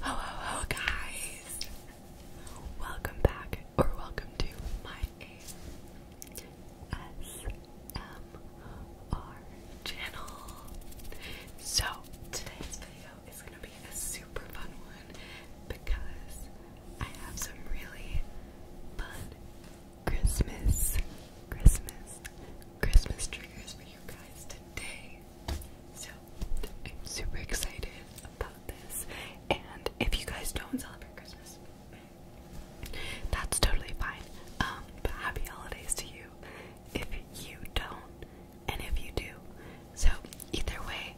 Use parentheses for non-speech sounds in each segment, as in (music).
Hello, hello, guys! Welcome back, or welcome to my ASMR channel. So, today's video is going to be a super fun one because I have some really fun Christmas, Christmas, Christmas triggers for you guys today. So I'm super excited about this. And if you guys don't celebrate Christmas, that's totally fine. Um, but happy holidays to you if you don't and if you do. So either way,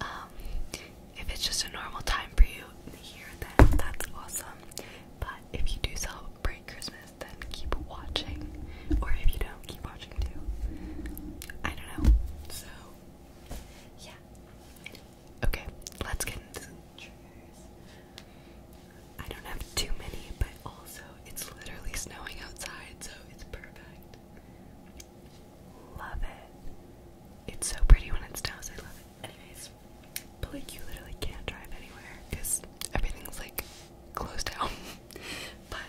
um, if it's just a normal time for you here, then that's awesome. But if you do celebrate Christmas, this, then keep watching. Or if you don't, keep watching too. I don't know. So, yeah. Okay, let's get into some triggers. I don't have too many, but also it's literally snowing outside, so it's perfect. Love it. It's so pretty when it snows, I love it. Anyways, but like you literally can't drive anywhere because everything's like closed down. (laughs) but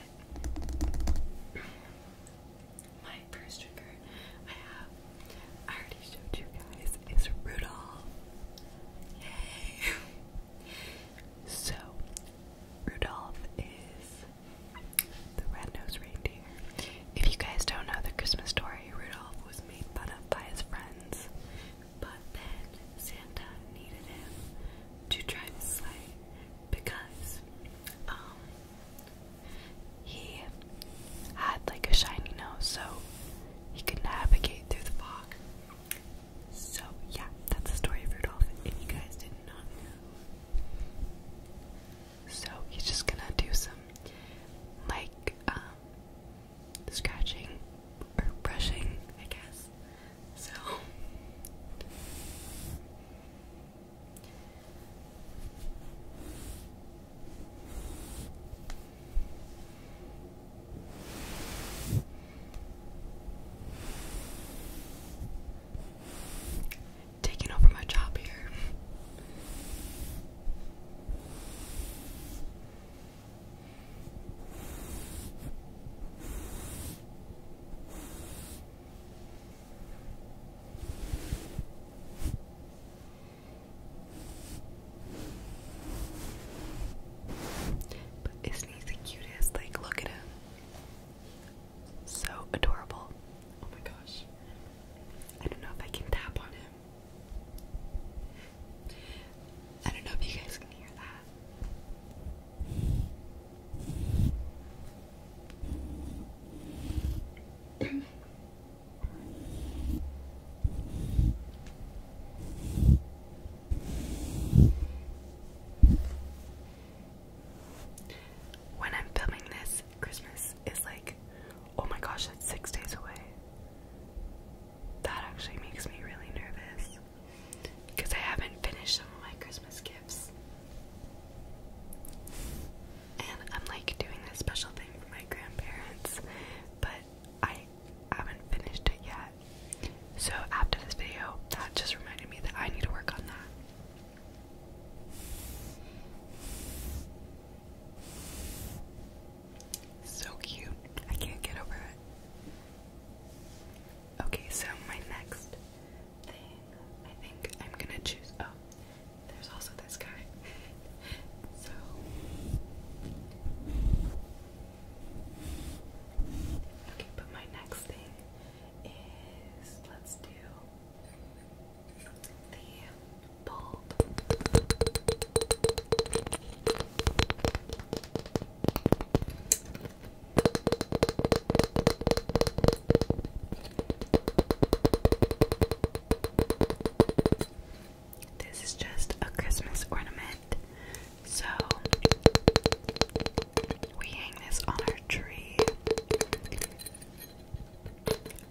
my first trigger I have, I already showed you guys, is Rudolph. Yay! (laughs) so, Rudolph is the red-nosed reindeer. If you guys don't know the Christmas story, Rudolph was made fun of by his friends but then Santa needed him to drive the sleigh because um, he had like a shiny nose so he could navigate through the fog. So yeah, that's the story of Rudolph if you guys did not know. So he's just gonna do some like um, scratching or brushing, I guess. So Taking over my job here. But is the cutest? Like, look at him. So adorable. Oh my gosh. I don't know if I can tap on him. I don't know if you guys can hear that. when I'm filming this, Christmas is like, oh my gosh, that's six days away. That actually makes me really nervous because I haven't finished some of my Christmas gifts. And I'm like doing this special thing for my grandparents, but I haven't finished it yet. So after this video, that just reminded me that I need to work on that. So cute. I can't get over it. Okay, so my next thing, I think I'm gonna choose. Oh, there's also this guy. (laughs) so. Okay, but my next thing is let's do the this is just a Christmas ornament, so we hang this on our tree.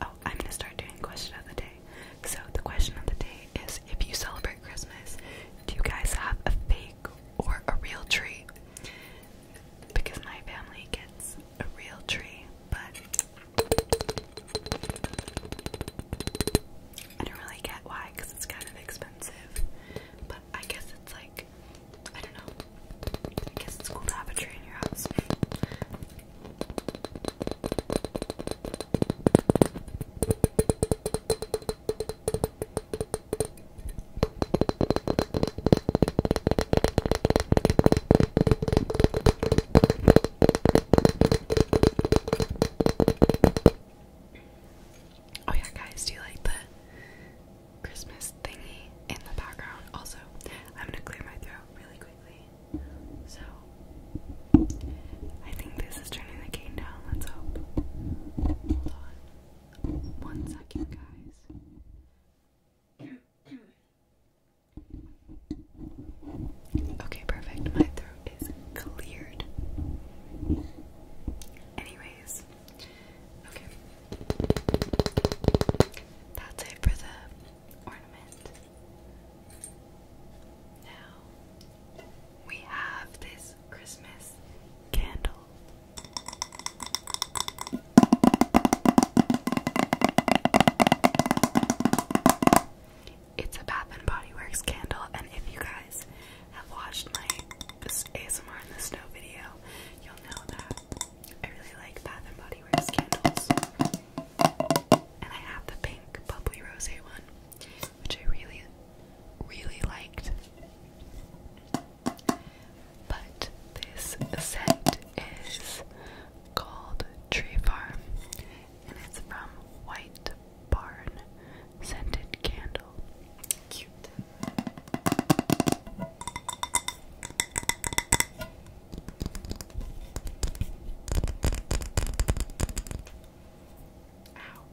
Oh, I'm gonna start doing question of the day. So the question of the day is if you celebrate Christmas, do you guys have a fake or a real tree? Because my family gets a real tree, but I don't really get why because it's kind of expensive. But I guess it's like, I don't know. I guess it's cool to have a tree in your house. Oh, yeah, guys, do you like the Christmas thingy in the background? Also, I'm gonna clear my throat really quickly. So, I think this is turning the cane down. Let's hope. Hold on. One second, guys. Okay, perfect. My throat is cleared. Anyways, okay. That's it for the ornament. Now we have this Christmas candle. It's a Bath and Body Works candle, and if you guys have watched my ASMR in the Snow video, you'll know that I really like Bath and Body Works candles. And I have the pink bubbly rose one, which I really, really liked. But this scent is called Tree Farm, and it's from White Barn Scented Candle. Cute. Ow.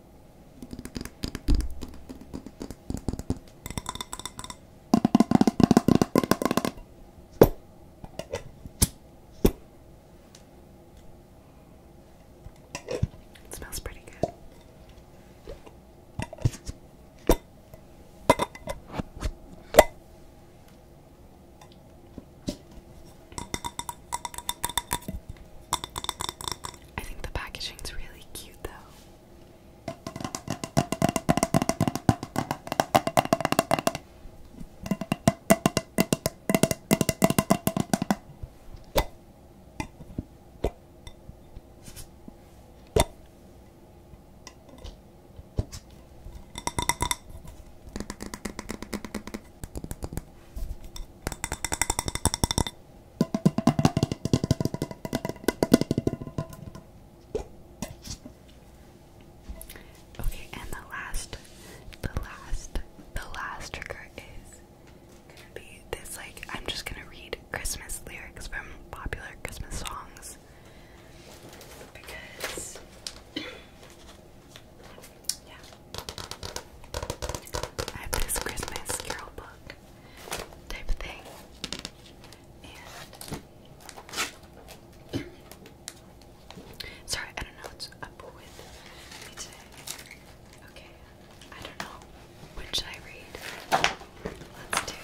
It smells pretty good. I think the packaging's really cute though. Okay, and the last, the last, the last trigger is gonna be this. Like, I'm just gonna read Christmas lyrics from popular Christmas songs, because yeah. I have this Christmas Carol book type thing. (clears throat) sorry, I don't know what's up with me today. Okay, I don't know. What should I read? Let's do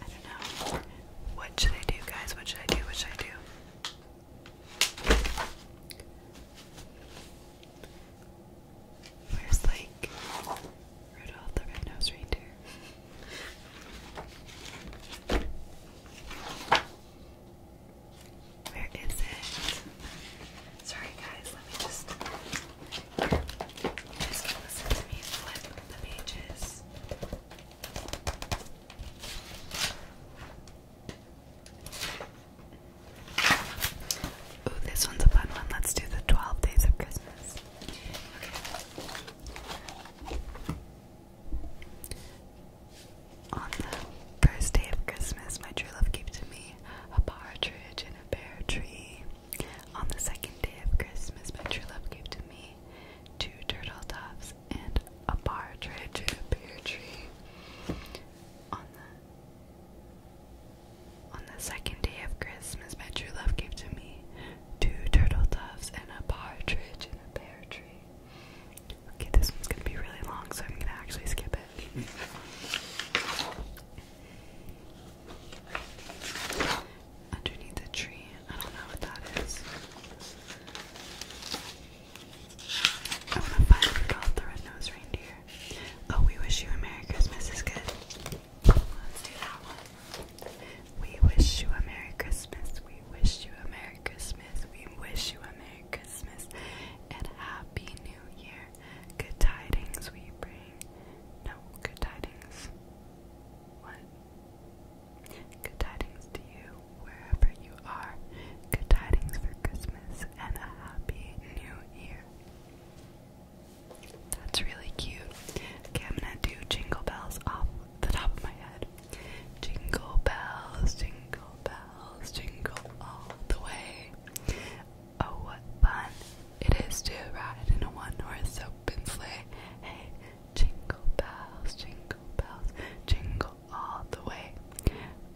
I don't know. What should I do, guys? What should I do? What should I do? Where's like Rudolph the Red-Nosed Reindeer? (laughs) Where is it? Sorry guys, let me just listen to me flip the pages. Ooh, this one's a fun one. Let's do the 12 days of Christmas. On the first day of Christmas, my true love gave to me a partridge in a pear tree. On the second day of Christmas, my true love gave to me two turtle doves and a partridge in a pear tree. On the on the second day of Christmas, my true love gave to me two turtle doves and a partridge in a pear tree. Okay, this one's gonna be really long, so I'm gonna actually skip it. Underneath the tree. I don't know what that is. I want to find the Red-Nosed Reindeer. Oh, we wish you a Merry Christmas is good. Let's do that one. We wish you a Merry Christmas. We wish you a Merry Christmas. We wish you a Merry Christmas and Happy New Year. Good tidings we bring. No, good tidings. What? Good tidings to you, wherever you are. Good tidings for Christmas and a happy new year. That's really cute. Okay, I'm gonna do jingle bells off the top of my head. Jingle bells, jingle bells bells jingle all the way. Oh, what fun it is to ride in a one horse open sleigh. Hey, jingle bells, jingle bells, jingle all the way.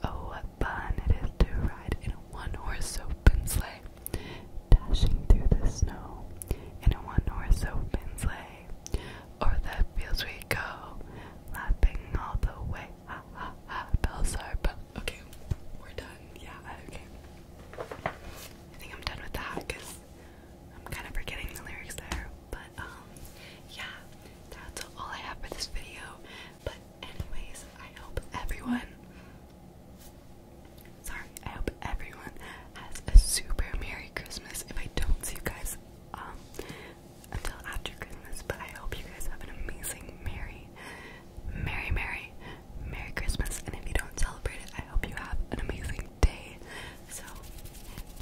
Oh, what fun it is to ride in a one horse open sleigh. Dashing through the snow in a one horse open sleigh. O'er the fields we go, laughing all the way ah, ah, but okay, we're done. Yeah, okay. I think I'm done with that because I'm kind of forgetting the lyrics there. But um, yeah, that's all I have for this video. But anyways, I hope everyone. Sorry, I hope everyone has a super Merry Christmas. If I don't see you guys um until after Christmas, but I hope you guys have an amazing, merry, merry, merry, merry Christmas. And if you don't celebrate it, I hope you have an amazing day. So,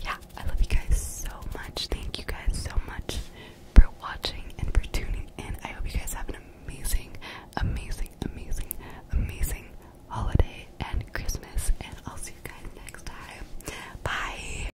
yeah, I love you guys so much. Thank you guys so much for watching and for tuning in. I hope you guys have an amazing, amazing, amazing, amazing holiday and Christmas. And I'll see you guys next time. Bye.